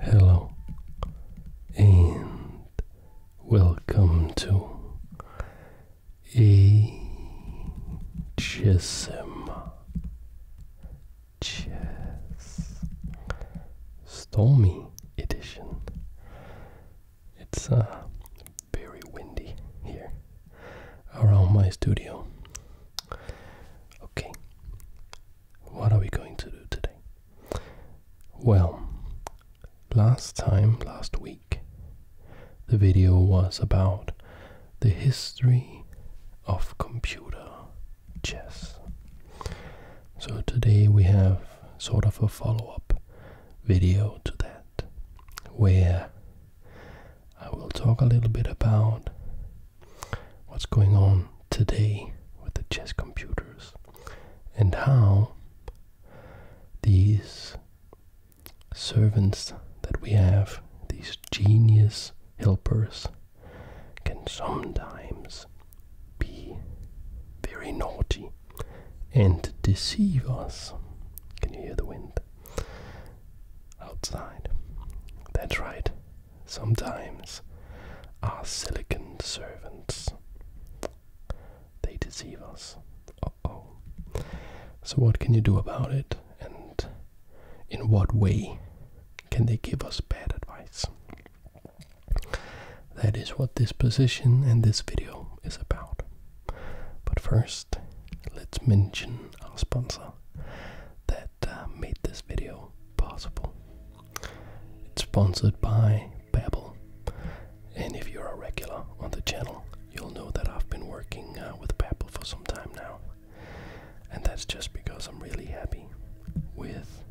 Hello and welcome to HSM Chess Stormy Edition. It's uh, very windy here around my studio. Okay, what are we going to do today? Well, last time, last week, the video was about the history of computer chess. So today we have sort of a follow up video to that, where I will talk a little bit about what's going on today with the chess computers and how these servants that we have, these genius helpers, can sometimes be very naughty and deceive us. Can you hear the wind outside? That's right, sometimes our silicon servants. They deceive us. oh. So, what can you do about it, and in what way can they give us bad advice? That is what this position and this video is about. But first, let's mention our sponsor that uh, made this video possible. It's sponsored by Babbel. And if you're a regular on the channel, you'll know that I've been working uh, with Babbel for some time now. And that's just because I'm really happy with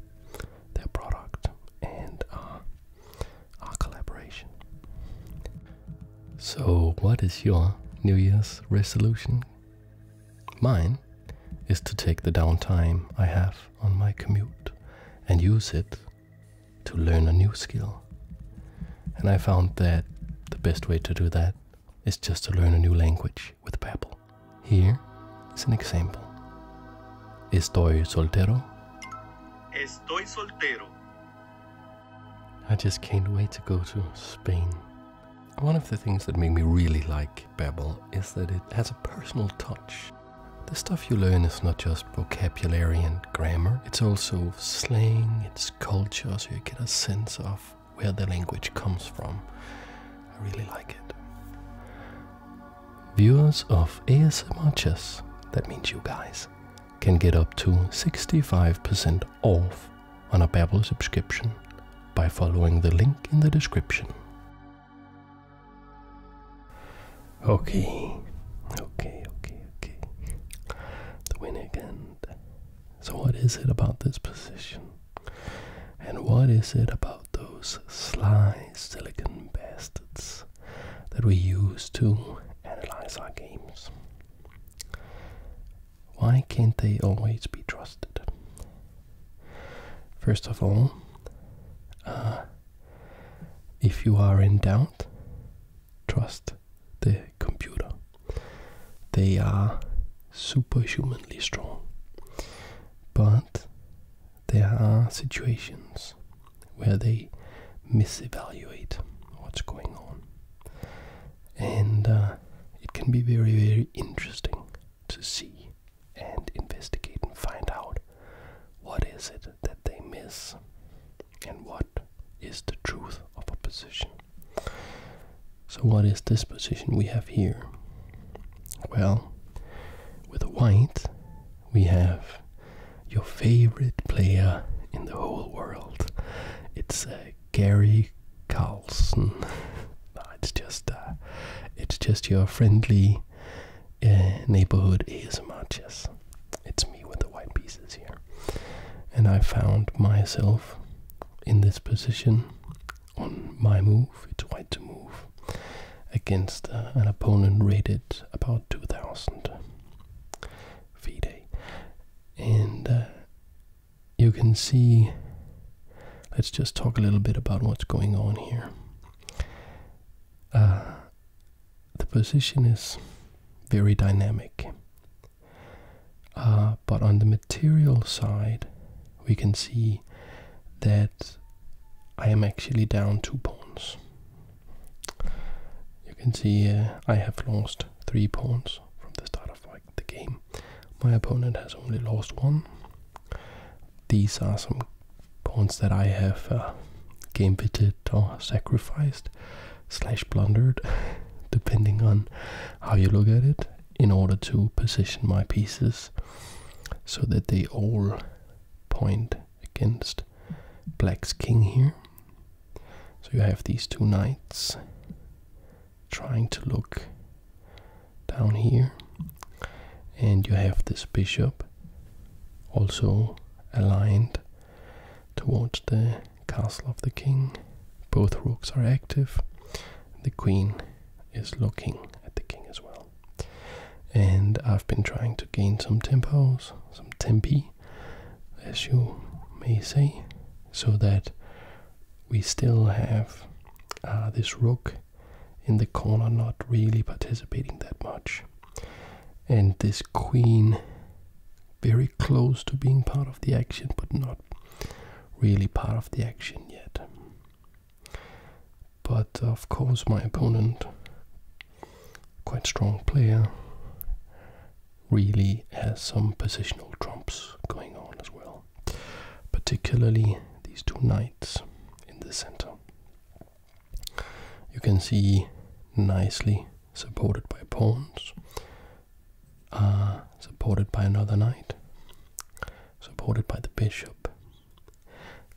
their product and uh, our collaboration. So, what is your New Year's resolution? Mine is to take the downtime I have on my commute and use it to learn a new skill. And I found that the best way to do that is just to learn a new language with Babbel. Here is an example. Estoy soltero. Estoy soltero. I just can't wait to go to Spain. One of the things that make me really like Babel is that it has a personal touch. The stuff you learn is not just vocabulary and grammar, it's also slang, it's culture, so you get a sense of where the language comes from. I really like it. Viewers of ASMR Chess, that means you guys, can get up to 65% off on a Babbel subscription by following the link in the description. Okay, okay, okay, okay. The win again. So, what is it about this position? And what is it about those sly silicon bastards that we use to analyze our games? Why can't they always be trusted? First of all, uh, if you are in doubt, trust the computer. They are superhumanly strong. But there are situations where they misevaluate what's going on. And uh, it can be very, very interesting to see and investigate and find out what is it that they miss and what is the truth of a position. So what is this position we have here? Well, with white we have your favorite player in the whole world. It's a. Gary Carlson. it's just uh, it's just your friendly uh, neighborhood ASMR yes. It's me with the white pieces here, and I found myself in this position on my move. It's white to move against uh, an opponent rated about 2,000 FIDE, and uh, you can see. Let's just talk a little bit about what's going on here. Uh, the position is very dynamic, uh, but on the material side, we can see that I am actually down two pawns. You can see uh, I have lost three pawns from the start of my the game. My opponent has only lost one. These are some pawns that I have uh, or sacrificed slash blundered, depending on how you look at it, in order to position my pieces so that they all point against black's king here. So you have these two knights trying to look down here and you have this bishop also aligned towards the castle of the king both rooks are active the queen is looking at the king as well and i've been trying to gain some tempos some tempi as you may say so that we still have uh, this rook in the corner, not really participating that much, and this queen very close to being part of the action, but not really part of the action yet. But of course, my opponent, quite strong player, really has some positional trumps going on as well particularly these two knights in the center. You can see nicely supported by pawns, uh, supported by another knight, supported by the bishop.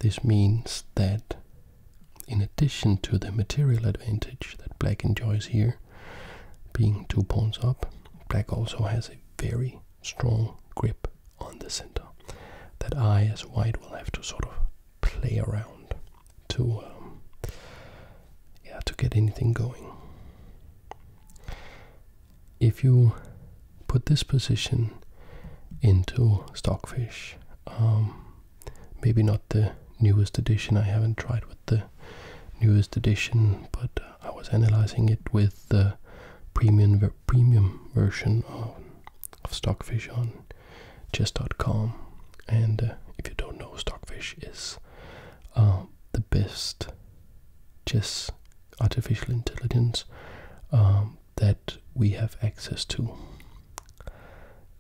This means that, in addition to the material advantage that black enjoys here, being two pawns up, black also has a very strong grip on the center that I, as white, will have to sort of play around to, um, yeah, to get anything going. If you put this position into stockfish, um, maybe not the newest edition. I haven't tried with the newest edition, but I was analyzing it with the premium premium version of, of Stockfish on chess.com. And uh, if you don't know, Stockfish is uh, the best chess artificial intelligence um, that we have access to.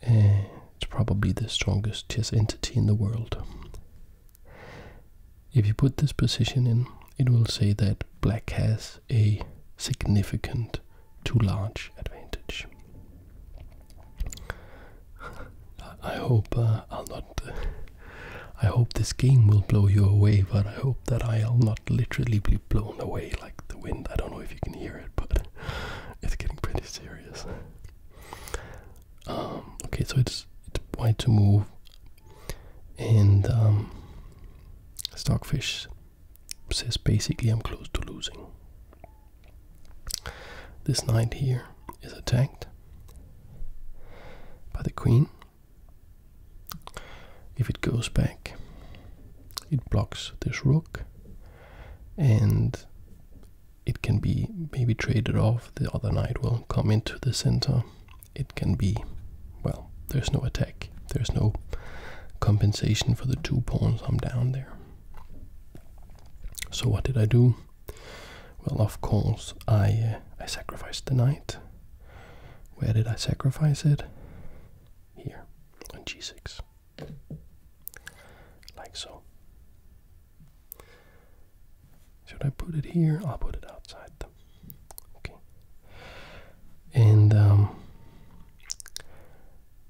Eh, it's probably the strongest chess entity in the world. If you put this position in, it will say that black has a significant too large advantage. I hope uh, I'll not. I hope this game will blow you away, but I hope that I'll not literally be blown away like the wind. I don't know if you can hear it, but it's getting pretty serious. Um, okay, so it's it's white to move and um, stockfish says basically i'm close to losing this knight here is attacked by the queen if it goes back it blocks this rook and it can be maybe traded off the other knight will come into the center it can be, well, there's no attack, there's no compensation for the two pawns I'm down there. So what did I do? Well, of course, I uh, I sacrificed the knight. Where did I sacrifice it? Here, on g6. Like so. Should I put it here? I'll put it outside. Okay. And um,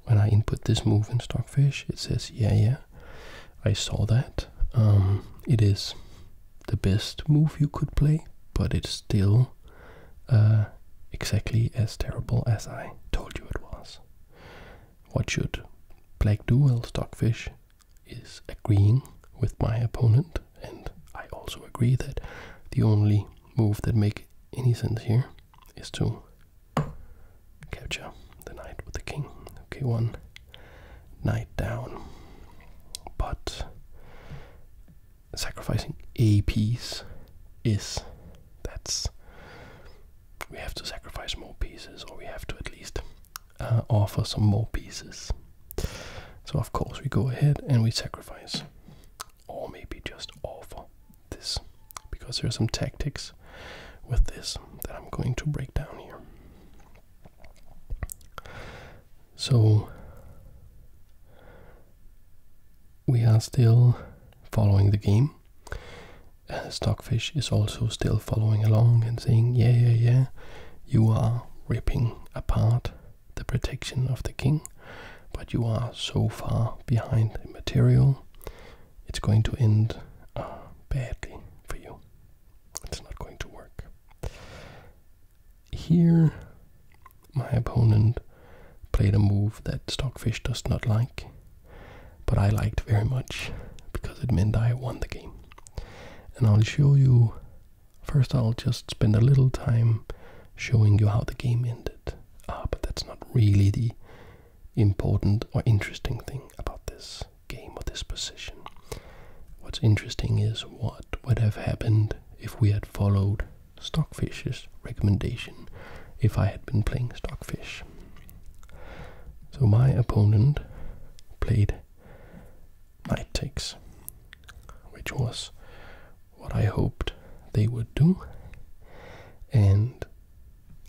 when I input this move in Stockfish, it says, yeah, yeah, I saw that. Um, it is the best move you could play, but it's still uh, exactly as terrible as I told you it was. What should Black do? Well, Stockfish is agreeing with my opponent, and I also agree that the only move that makes any sense here is to capture the knight with the king. Okay, one knight down, but sacrificing a piece is that's we have to sacrifice more pieces, or we have to at least uh, offer some more pieces. So, of course, we go ahead and we sacrifice, or maybe just offer this, because there are some tactics with this that I'm going to break down here. So, we are still following the game. Stockfish is also still following along and saying, Yeah, yeah, yeah, you are ripping apart the protection of the king, but you are so far behind the material, it's going to end uh, badly for you. It's not going to work. Here, my opponent played a move that Stockfish does not like, but I liked very much because it meant I won the game and I'll show you. First, I'll just spend a little time showing you how the game ended. Ah, but that's not really the important or interesting thing about this game or this position. What's interesting is what would have happened if we had followed Stockfish's recommendation, if I had been playing Stockfish. So my opponent played night takes, which was what I hoped they would do, and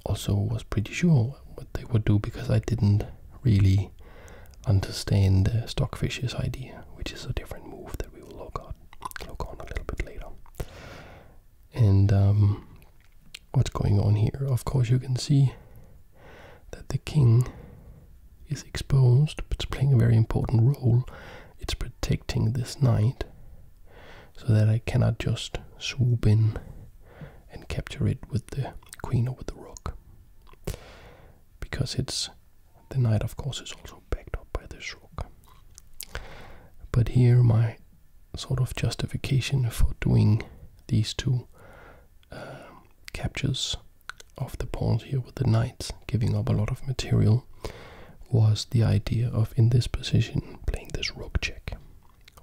also was pretty sure what they would do because I didn't really understand uh, Stockfish's idea, which is a different move that we will look at, look on a little bit later. And um, what's going on here? Of course, you can see that the king is exposed, but it's playing a very important role. It's protecting this knight so that I cannot just swoop in and capture it with the queen or with the rook. Because it's the knight, of course, is also backed up by this rook. But here, my sort of justification for doing these two captures of the pawn here with the knight, giving up a lot of material, was the idea of in this position playing this rook check.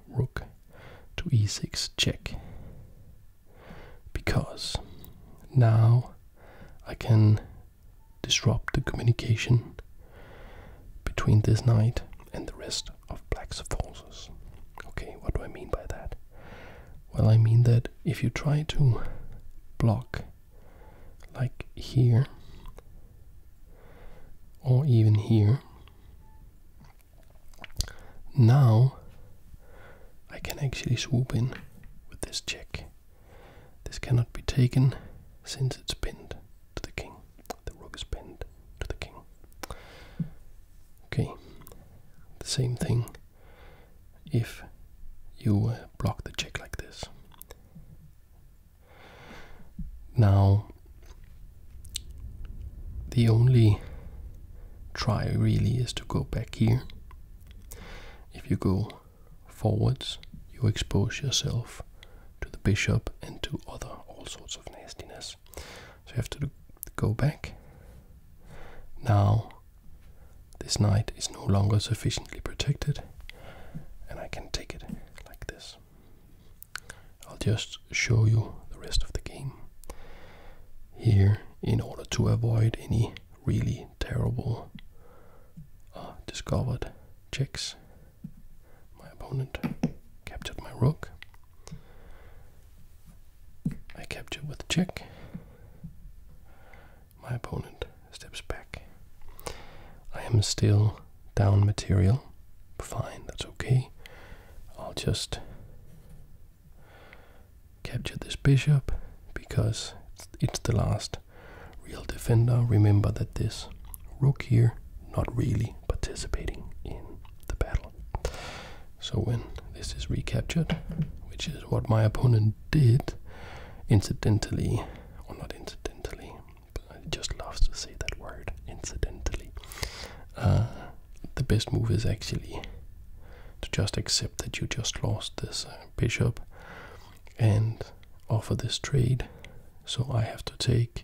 Rook to e6 check. Because now I can disrupt the communication between this knight and the rest of black's forces. Okay, what do I mean by that? Well, I mean that if you try to block, like here, or even here, now I can actually swoop in with this check. This cannot be taken since it's pinned to the king. The rook is pinned to the king. Okay, the same thing if you block the check like this. Now, the only try really is to go back here. If you go forwards, you expose yourself to the bishop and to other all sorts of nastiness. So you have to go back now, this knight is no longer sufficiently protected, and I can take it like this. I'll just show you the rest of the game here in order to avoid any really terrible uh, discovered checks. My opponent captured my rook. I capture with check. My opponent steps back. I am still down material. Fine, that's okay. I'll just capture this bishop because it's the last real defender. Remember that this rook here, not really participating in the battle. So when this is recaptured, which is what my opponent did, incidentally, or not incidentally, but I just love to say that word, incidentally. Uh, the best move is actually to just accept that you just lost this uh, bishop and offer this trade. So I have to take,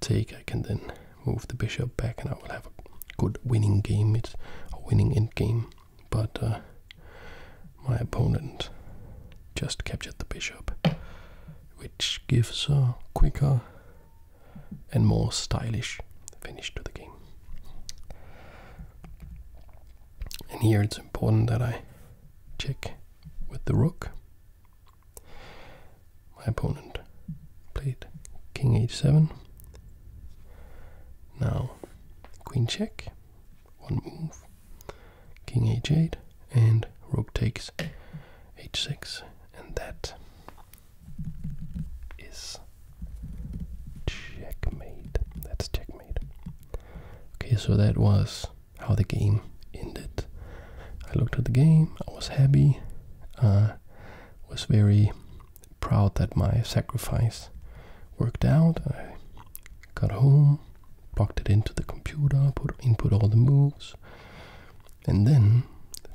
take, I can then move the bishop back and I will have a good winning game. It's a winning endgame, but uh, my opponent just captured the bishop, which gives a quicker and more stylish finish to the game. And here it's important that I check with the rook my opponent played king h7. Now queen check, one move, king h8, and rook takes h6, and that is checkmate. That's checkmate. Okay, so that was how the game ended. I looked at the game, I was happy, I uh, was very proud that my sacrifice worked out. I got home, plugged it into the computer, put input all the moves, and then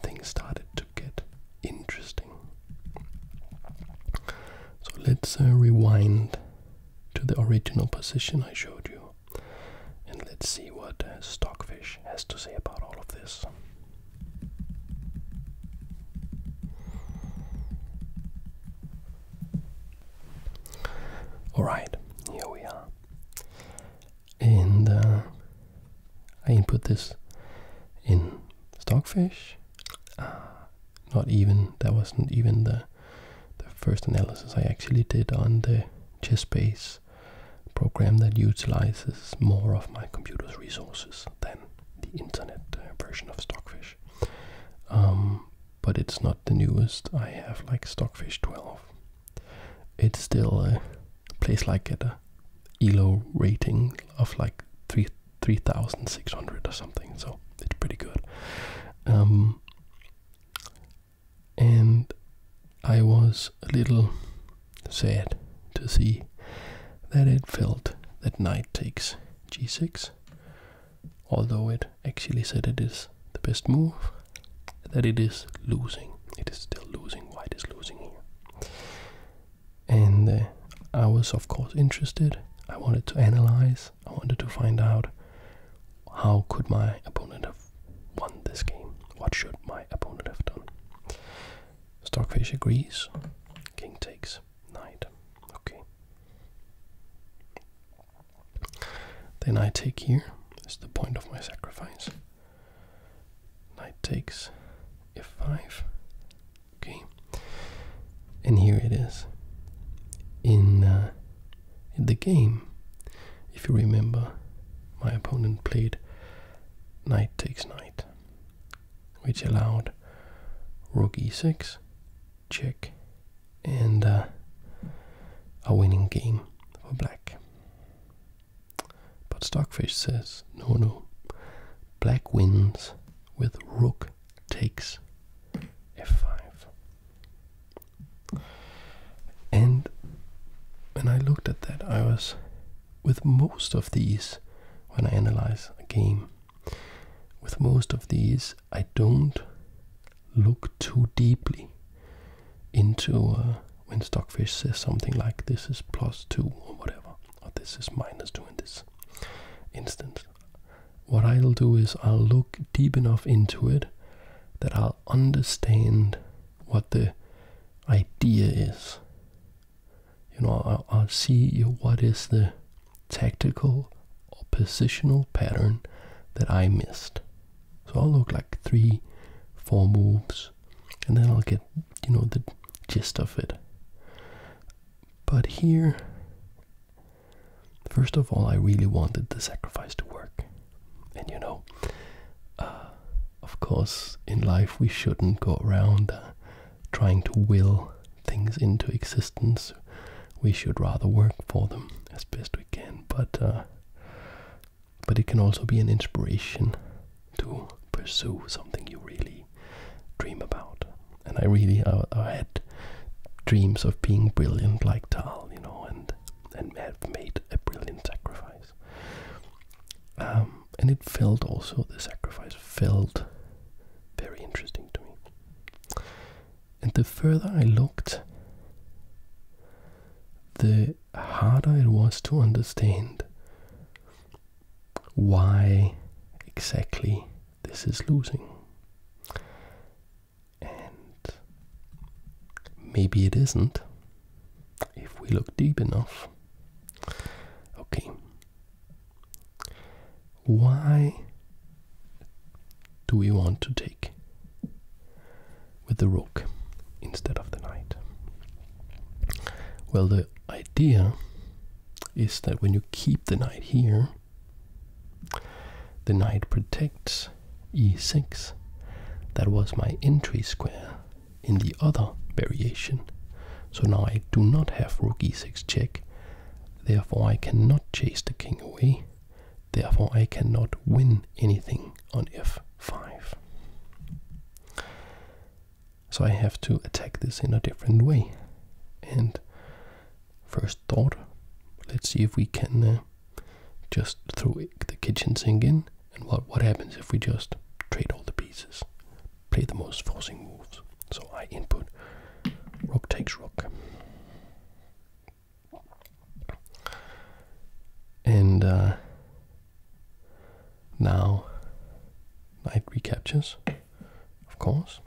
things started to get interesting. So let's uh, rewind to the original position I showed you, and let's see what uh, stockfish has to say about all of this. Alright, here we are. And uh, I input this in Stockfish. Uh, not even, that wasn't even the, the first analysis I actually did on the chess base program that utilizes more of my computer's resources than the internet uh, version of Stockfish. Um, but it's not the newest. I have like Stockfish 12. It's still a place like at a ELO rating of like 3 3600 or something, so it's pretty good. Um, and I was a little sad to see that it felt that knight takes g6, although it actually said it is the best move, that it is losing. It is still losing. White is losing here. And uh, I was, of course, interested. I wanted to analyze. I wanted to find out how could my opponent have won this game? What should my opponent have done? Stockfish agrees. King takes knight. Okay. Then I take here. here. Is the point of my sacrifice? Knight takes f5. Okay. And here it is. In, uh, in the game, if you remember, my opponent played knight takes knight which allowed rook e6, check, and uh, a winning game for black. But Stockfish says, no, no, black wins with rook takes f5. And when I looked at that, I was with most of these, when I analyze a game, with most of these, I don't look too deeply into uh, when Stockfish says something like this is plus two or whatever, or this is minus two in this instance. What I'll do is I'll look deep enough into it that I'll understand what the idea is you know, I'll, see what is the tactical or positional pattern that I missed. So I'll look like three, four moves, and then I'll get, you know, the gist of it. But here, first of all, I really wanted the sacrifice to work. And you know, uh, of course, in life we shouldn't go around uh, trying to will things into existence. We should rather work for them as best we can. But uh, but it can also be an inspiration to pursue something you really dream about. And I really I had dreams of being brilliant like Tal, you know, and and have made a brilliant sacrifice. Um, and it felt also, the sacrifice felt very interesting to me. And the further I looked, the harder it was to understand why exactly this is losing. And maybe it isn't, if we look deep enough. Okay. Why do we want to take with the rook instead of the knight? Well, the idea is that when you keep the knight here, the knight protects e6. That was my entry square in the other variation. So now I do not have rook e6 check, therefore I cannot chase the king away, therefore I cannot win anything on f5. So I have to attack this in a different way. And first thought, let's see if we can uh, just throw the kitchen sink in and what, what happens if we just trade all the pieces, play the most forcing moves. So I input rook takes rook. And uh, now knight recaptures, of course.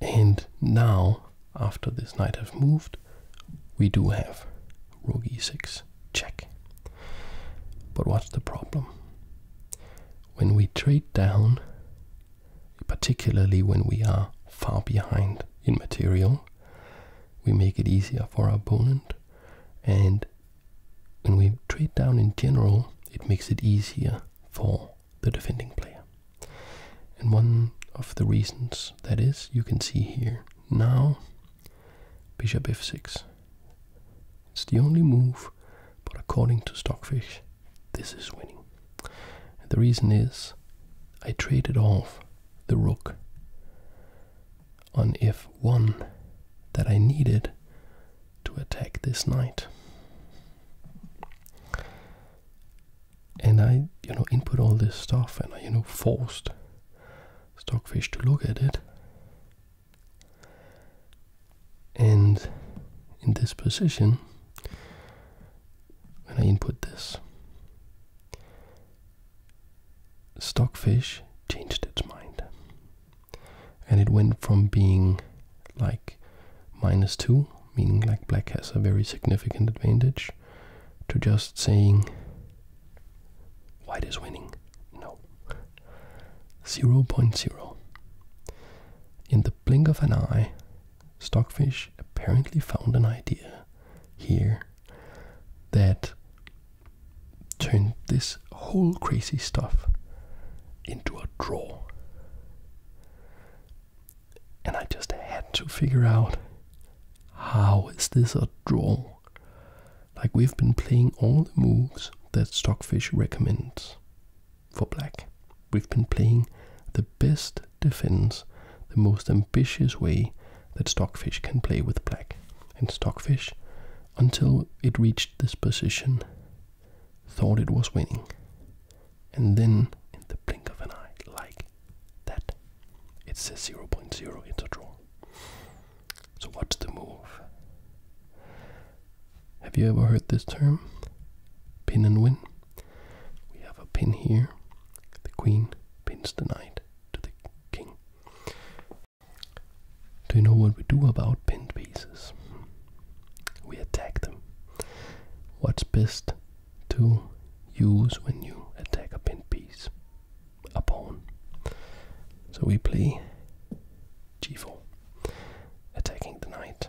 And now after this knight has moved, we do have rook e6 check. But what's the problem? When we trade down, particularly when we are far behind in material, we make it easier for our opponent. And when we trade down in general, it makes it easier for the defending player. And one of the reasons that is, you can see here now bishop f6. It's the only move, but according to Stockfish, this is winning. And the reason is I traded off the rook on f1 that I needed to attack this knight and I, you know, input all this stuff, and I, you know, forced Stockfish to look at it. And in this position, when I input this, Stockfish changed its mind. And it went from being like minus 2, meaning like black has a very significant advantage, to just saying white is winning. No. 0.0. In the blink of an eye, Stockfish apparently found an idea here that turned this whole crazy stuff into a draw and I just had to figure out how is this a draw? Like we've been playing all the moves that Stockfish recommends for black. We've been playing the best defense, the most ambitious way that Stockfish can play with black. And Stockfish, until it reached this position, thought it was winning. And then, in the blink of an eye, like that. It 0, 0.0, it's a draw. So what's the move? Have you ever heard this term? Pin and win. We have a pin here. The queen pins the knight to the king. Do you know what we do about pinned pieces? We attack them. What's best to use when you attack a pin piece, a pawn. So we play g4, attacking the knight.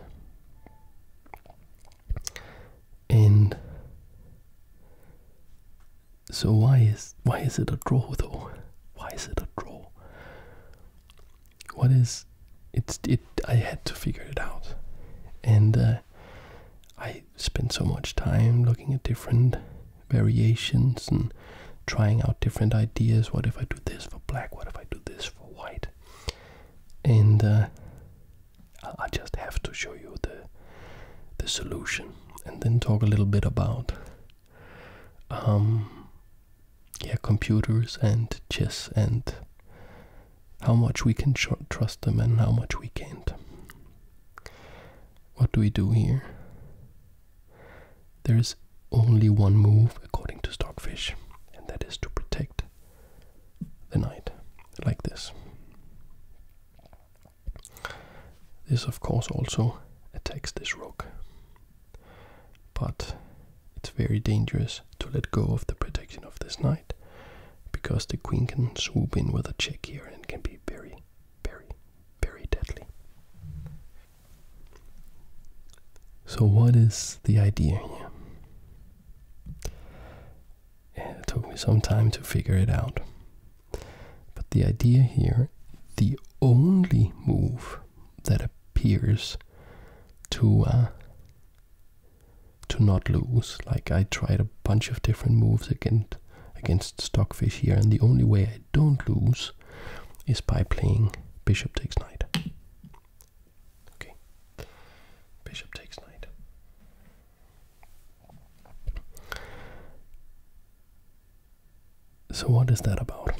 And so why is why is it a draw though? Why is it a draw? What is it's it? I had to figure it out, and uh, I spend so much time looking at different variations and trying out different ideas. What if I do this for black? What if I do this for white? And uh, I just have to show you the the solution, and then talk a little bit about um, yeah, computers and chess and how much we can trust them and how much we can't. What do we do here? There is only one move according to Stockfish, and that is to protect the knight, like this. This, of course, also attacks this rook, but it's very dangerous to let go of the protection of this knight because the queen can swoop in with a check here and can be very, very, very deadly. So, what is the idea here? it took me some time to figure it out. But the idea here, the only move that appears to uh, to not lose. Like I tried a bunch of different moves against against Stockfish here, and the only way I don't lose is by playing Bishop takes knight. Okay. Bishop takes knight. So what is that about?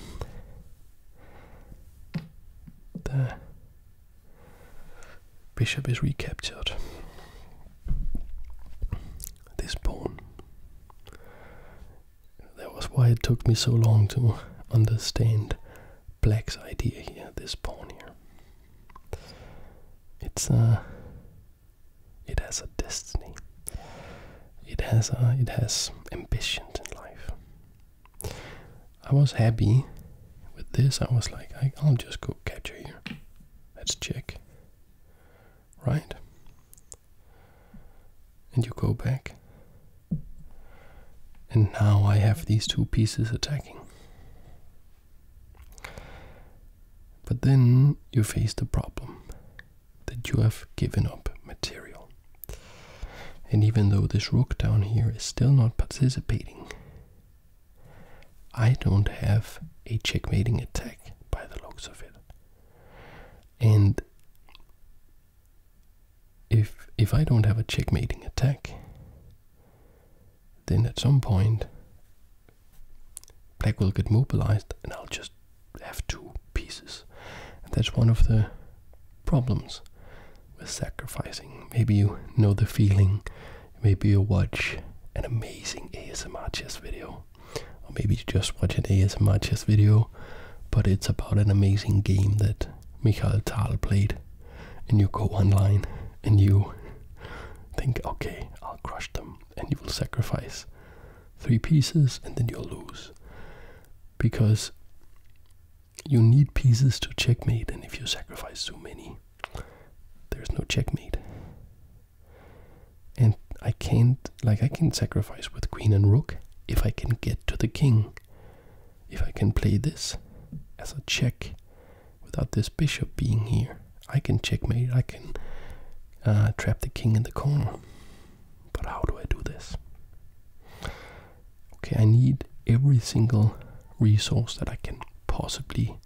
The Bishop is recaptured. This pawn. That was why it took me so long to understand black's idea here, this pawn here. It's uh it has a destiny. It has uh, it has ambitions in life. I was happy with this. I was like, I'll just go capture here. Let's check. Right? And you go back. And now I have these two pieces attacking. But then you face the problem that you have given up material. And even though this rook down here is still not participating, I don't have a checkmating attack by the looks of it. And if if I don't have a checkmating attack, then at some point black will get mobilized and I'll just have two pieces. that's one of the problems with sacrificing. Maybe you know the feeling Maybe you watch an amazing ASMR chess video. Or maybe you just watch an ASMR chess video, but it's about an amazing game that Michael Tal played. And you go online and you think, okay, I'll crush them. And you will sacrifice three pieces and then you'll lose. Because you need pieces to checkmate, and if you sacrifice too many, there's no checkmate. And I can't, like, I can sacrifice with queen and rook if I can get to the king. If I can play this as a check without this bishop being here, I can checkmate, I can uh, trap the king in the corner. But how do I do this? Okay, I need every single resource that I can possibly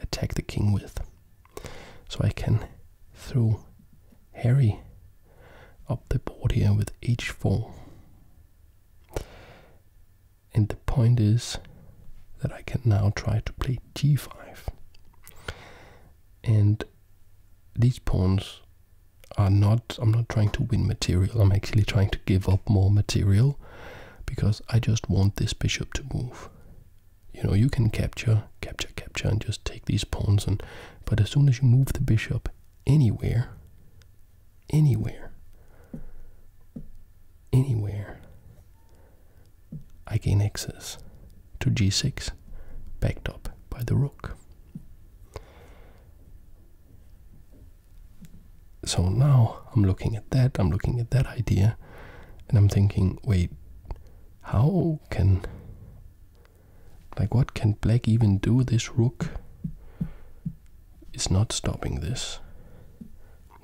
attack the king with. So I can throw Harry up the board here with h4. And the point is that I can now try to play g5. And these pawns are not, I'm not trying to win material, I'm actually trying to give up more material because I just want this bishop to move. You know, you can capture, capture, capture, and just take these pawns. And but as soon as you move the bishop anywhere, anywhere, anywhere, I gain access to g6, backed up by the rook. So now I'm looking at that, I'm looking at that idea, and I'm thinking, wait, how can. Like, what can black even do? This rook is not stopping this.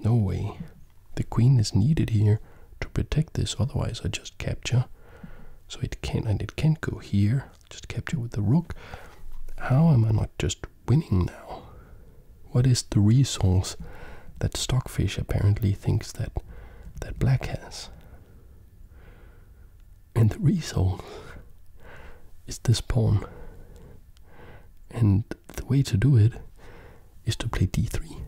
No way. The queen is needed here to protect this, otherwise, I just capture. So it can, not and it can't go here. Just capture with the rook. How am I not just winning now? What is the resource that Stockfish apparently thinks that that Black has? And the resource is this pawn. And the way to do it is to play d3.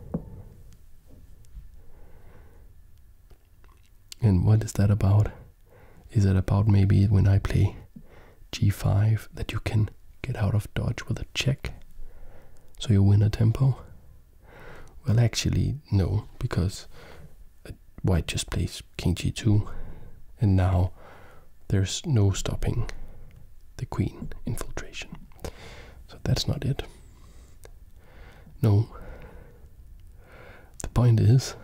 And what is that about? Is that about maybe when I play g5 that you can get out of dodge with a check so you win a tempo well actually no because uh, white just plays king g2 and now there's no stopping the queen infiltration so that's not it no the point is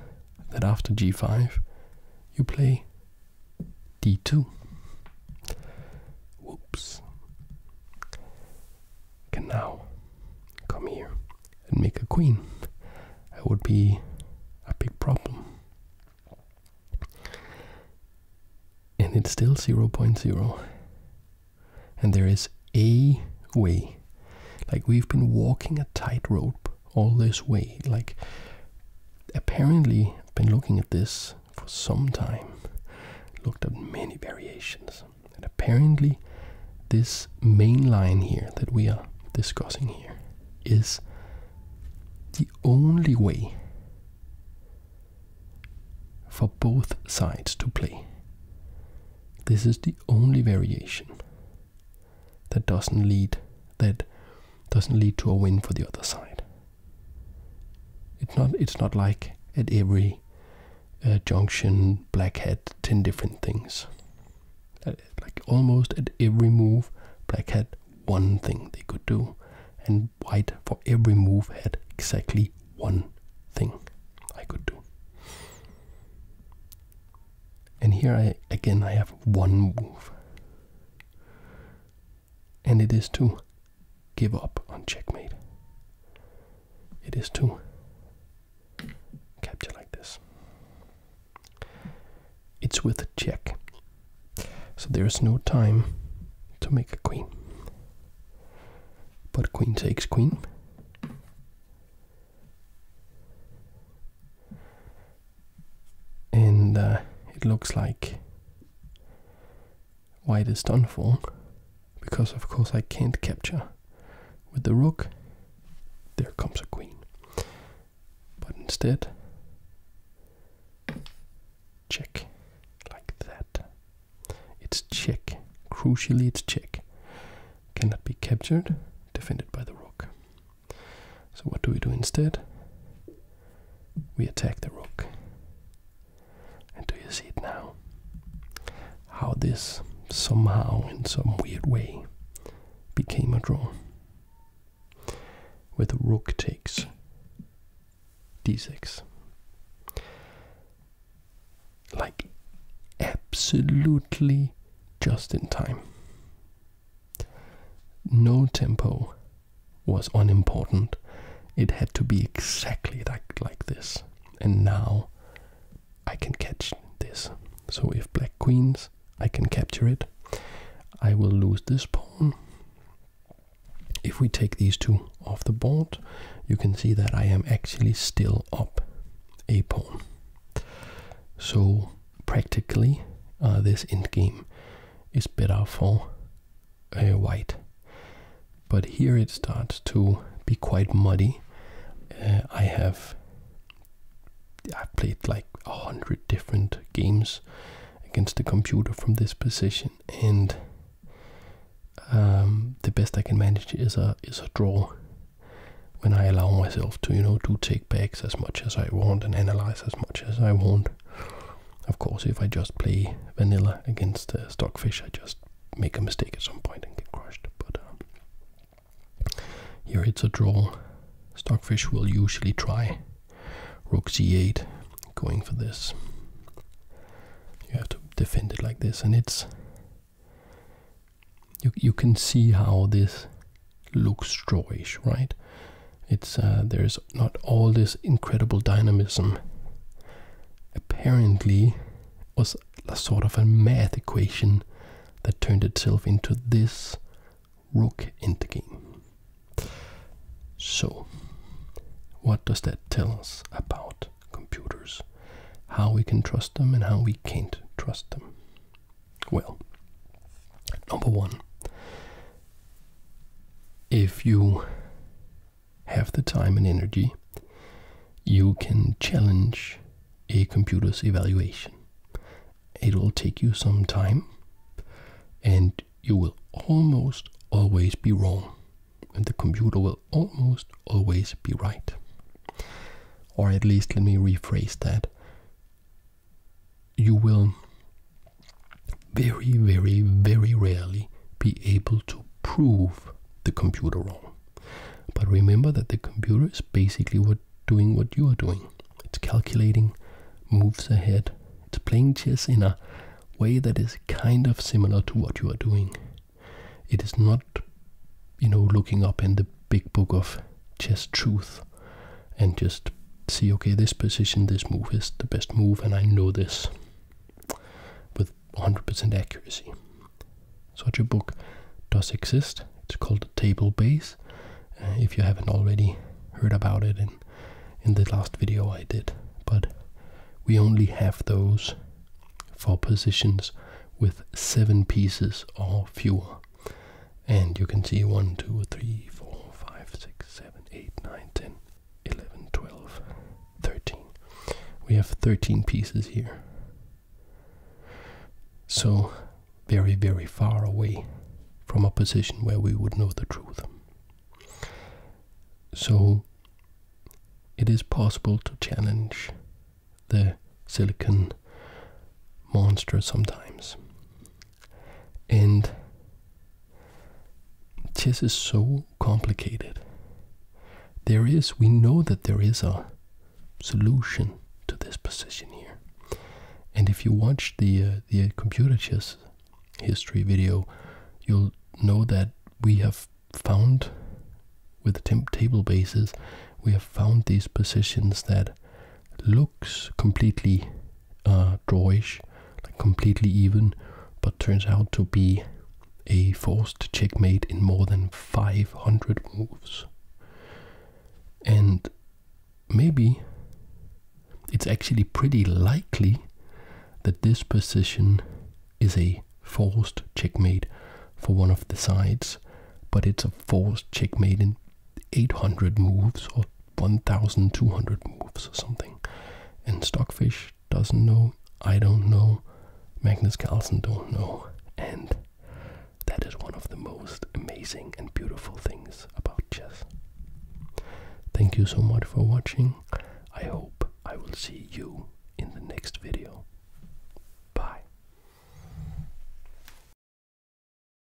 that after g5 you play d2. Whoops. Can now come here and make a queen. That would be a big problem. And it's still 0, 0.0. And there is a way. Like we've been walking a tightrope all this way. Like apparently been looking at this for some time, looked at many variations, and apparently this main line here that we are discussing here is the only way for both sides to play. This is the only variation that doesn't lead that doesn't lead to a win for the other side. It's not. It's not like at every uh, junction, black had ten different things. Uh, like almost at every move, black had one thing they could do, and white for every move had exactly one thing I could do. And here I again I have one move and it is to give up on checkmate. It is to capture like this. It's with a check, so there is no time to make a queen. But queen takes queen and uh, it looks like white is done for because of course I can't capture with the rook there comes a queen but instead check like that it's check crucially it's check cannot be captured defended by the rook so what do we do instead? We attack the rook. And do you see it now? How this somehow, in some weird way, became a draw. Where the rook takes d6. Like, absolutely just in time. No tempo, was unimportant. It had to be exactly like, like this. And now I can catch this. So if black queens, I can capture it. I will lose this pawn. If we take these two off the board, you can see that I am actually still up a pawn. So practically, uh, this endgame is better for white. But here it starts to be quite muddy. Uh, I have I've played like a hundred different games against the computer from this position, and um, the best I can manage is a is a draw. When I allow myself to, you know, do take backs as much as I want and analyze as much as I want, of course, if I just play vanilla against stockfish, I just make a mistake at some point and get crushed. But um, here it's a draw. Stockfish will usually try rook c8, going for this. You have to defend it like this, and it's you you can see how this looks strawish, right? It's uh, there's not all this incredible dynamism. Apparently, was a sort of a math equation that turned itself into this rook endgame. So, what does that tell us about computers? How we can trust them and how we can't trust them? Well, number one, if you have the time and energy, you can challenge a computer's evaluation. It will take you some time and you will almost always be wrong, and the computer will almost always be right. Or at least, let me rephrase that you will very, very, very rarely be able to prove the computer wrong. But remember that the computer is basically doing what you are doing. It's calculating, moves ahead, it's playing chess in a way that is kind of similar to what you are doing. It is not, you know, looking up in the big book of chess truth and just see okay, this position, this move is the best move, and I know this with 100% accuracy. Such a book does exist. It's called the Table Base. Uh, if you haven't already heard about it in in the last video I did, but we only have those for positions with seven pieces or fewer. And you can see 1, 2, 3, 4, 5, 6, 7, 8, 9, 10, 11, 12, 13. We have 13 pieces here. So, very, very far away from a position where we would know the truth. So, it is possible to challenge the silicon monster sometimes. And chess is so complicated. There is, we know that there is a solution to this position here. And if you watch the uh, the computer chess history video, you'll know that we have found with table bases, we have found these positions that looks completely uh, drawish, like completely even, but turns out to be a forced checkmate in more than 500 moves. And maybe it's actually pretty likely that this position is a forced checkmate for one of the sides, but it's a forced checkmate in 800 moves or 1200 moves or something. And Stockfish doesn't know, I don't know, Magnus Carlsen don't know. And that is one of the most amazing and beautiful things about chess. Thank you so much for watching. I hope I will see you in the next video. Bye.